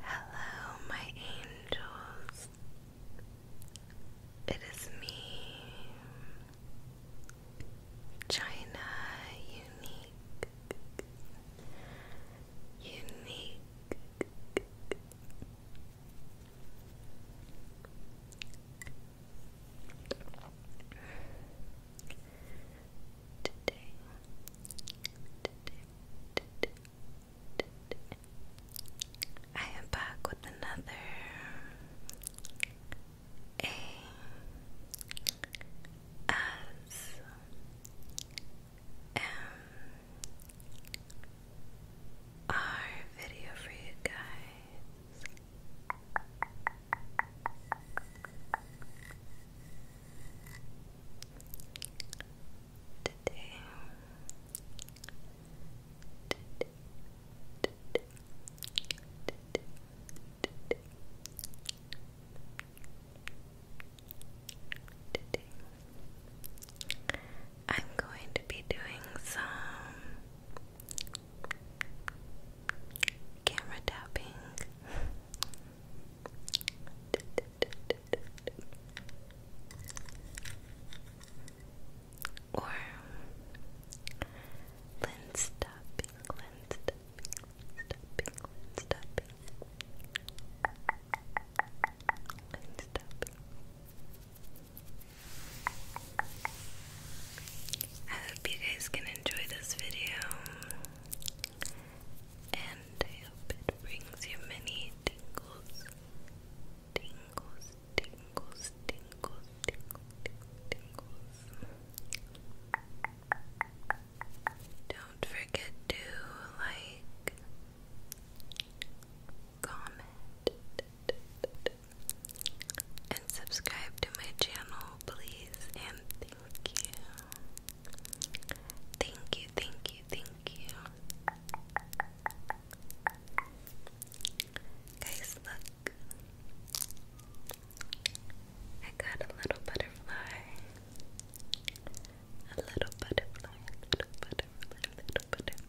Hello, my angels. It is me, China Unique. Unique. Today, today, today, today, I am back with another A S M our video for you guys. Today, I'm going to be doing some camera tapping. Or lens tapping, lens tapping, tapping, lens tapping, lens tapping. I hope you guys can enjoy this video, and I hope it brings you many tingles, tingles, tingles, tingles, tingles, Don't forget to like, comment, and subscribe to my channel, please. And thank you. Thank you, thank you, thank you. Guys, look. I got a little butterfly. A little butterfly, a little butterfly, a little butterfly.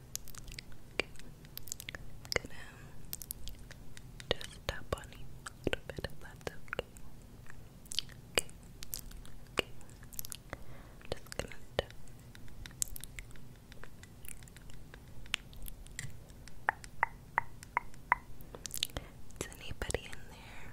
i just tap on you a little bit if that's okay. just gonna tap. Is anybody in there?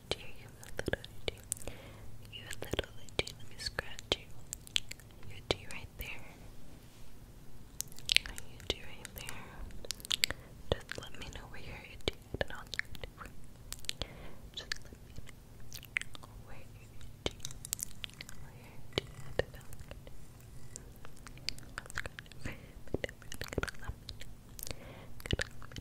little you a little itchy. You a little let me scratch you. You itchy right there. Are you itchy right there? Just let me know where you're itchy and I'll scratch you. Just let me know where you're you're and I'll scratch it.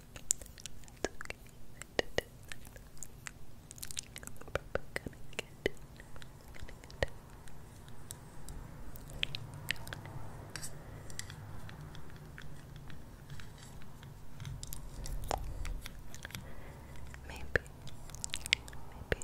That's okay. But we're gonna get it. Maybe, maybe not. Maybe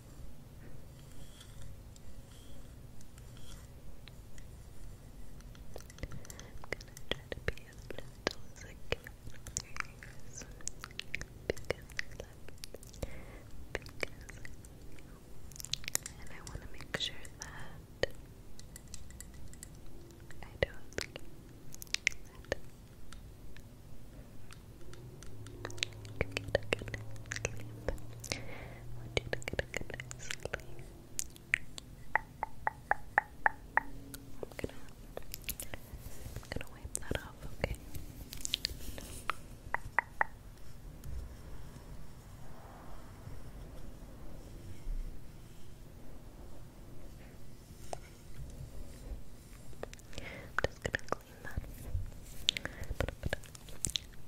try to be as gentle as I can with your because I love you because I love you and I want to make sure that I don't that you get good night's sleep I want you to get a good night's sleep. I'm gonna, I'm gonna wipe that off, okay? I'm just gonna clean that. Put it, put it.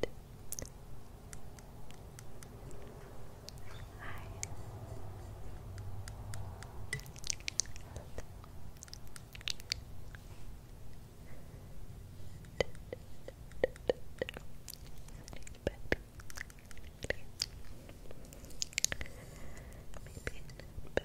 Good. Hi. Maybe, but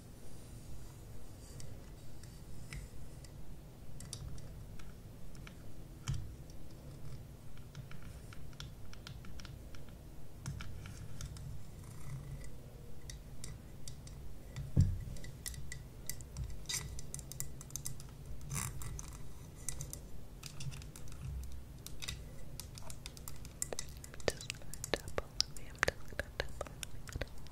Just gonna tap all of you. I'm just gonna tap all of you.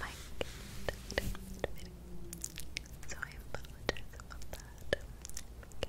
Mike, so I apologize about that.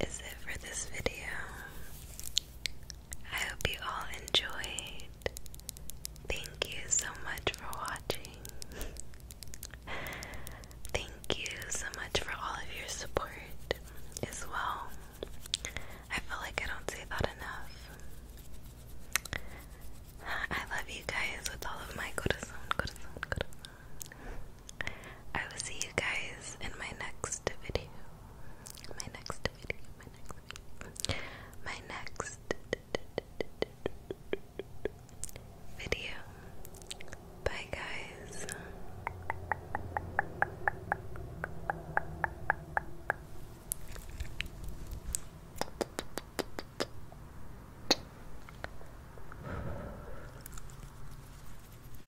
is it for this video. I hope you all enjoyed. Thank you so much for watching. Thank you so much for all of your support as well. I feel like I don't say that enough. I love you guys with all of my corazón, corazón, corazón. I will see you guys in my next video. My next video, my next video. Bye guys.